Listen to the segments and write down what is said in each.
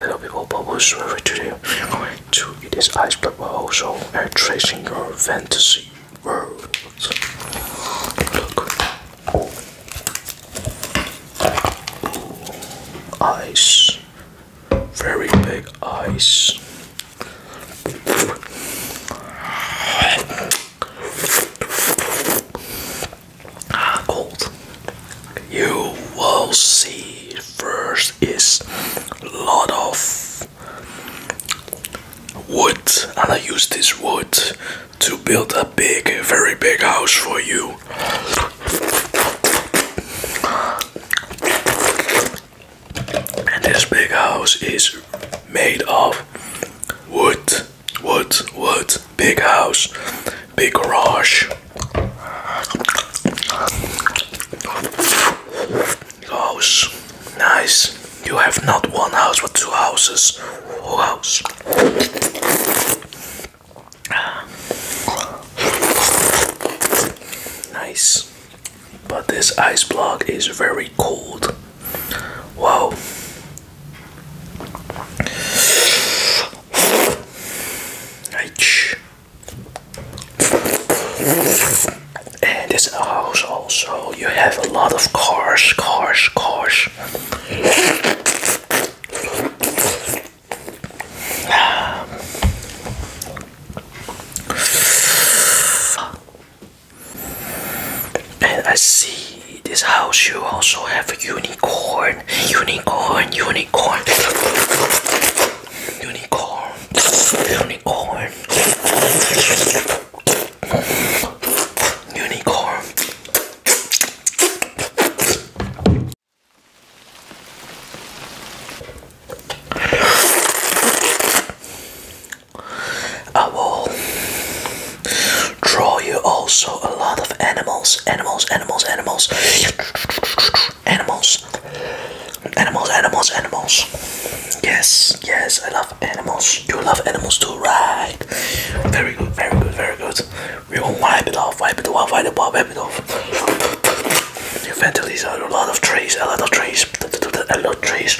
Hello people, Bobo Sweary today we are going to eat this ice block but also air tracing your fantasy world. Look. Ice. Very big ice gold. You will see first is a lot of wood and I use this wood to build a big very big house for you. And this big house is made of wood Woods, woods, big house, big garage. House, nice. You have not one house but two houses. Who house? Nice. But this ice block is very cold. Whoa. And this house also you have a lot of cars, cars, cars. And I see this house you also have a unicorn, unicorn, unicorn, unicorn, unicorn, unicorn. I will draw you also a lot of animals, animals, animals, animals, animals, animals, animals, animals. Yes, yes, I love animals. You love animals too, right? Very good, very good, very good. We will wipe it off, wipe it off, wipe it off, wipe it off. You ventilate a lot of trees, a lot of trees trees. I love trees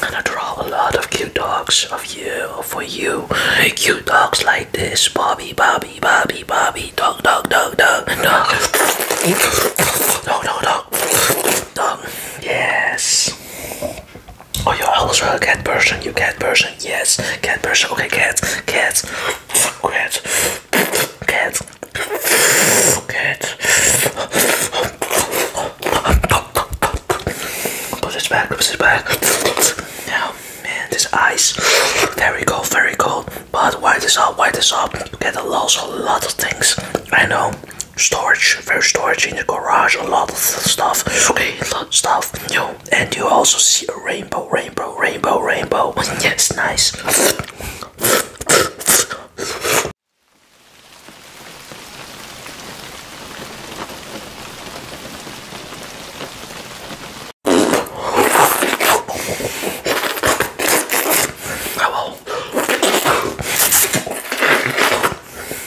gonna draw a lot of cute dogs of you for you. Cute dogs like this. Bobby, Bobby, Bobby, Bobby. Dog, dog, dog, dog, dog. Dog, dog, dog. Dog. Yes. Oh, you're also a cat person. You cat person. Yes. Cat person. Okay, cats. Cats. Cats. Cats. Cats. Put back, put back. Now, man, this ice, very cold, very cold. But why this up, white this up. We get a lot, a lot of things. I know. Storage, very storage in the garage, a lot of stuff. Okay, lot stuff. Yo, and you also see a rainbow, rainbow, rainbow, rainbow. Yes, nice.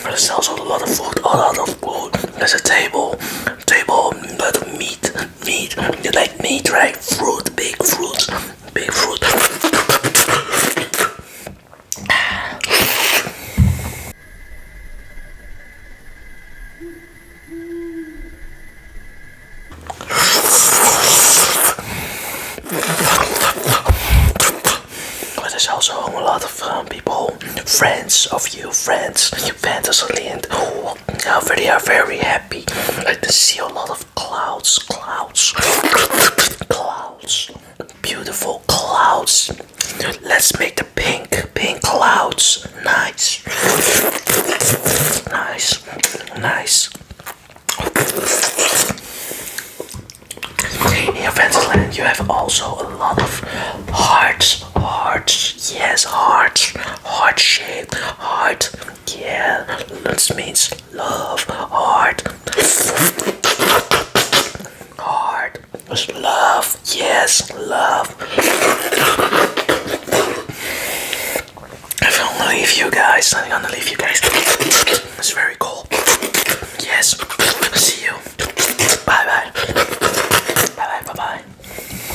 There's also a lot of food, a lot of food. There's a table, table, mm, but meat, meat. You like meat, right? Fruit, big fruits big fruit. But there's also a lot of um, people, friends of you, friends, fans of Celine, However, they are very happy happy. I can see a lot of clouds, clouds, clouds, beautiful clouds. Let's make the pink, pink clouds. Nice, nice, nice. In your fantasy land, you have also a lot of hearts, hearts, yes, hearts, heart shape, heart, yeah, that means love, heart. Heart is love. Yes, love. If I'm gonna leave you guys, I'm gonna leave you guys. It's very cool. Yes. See you. Bye bye. Bye bye. Bye bye.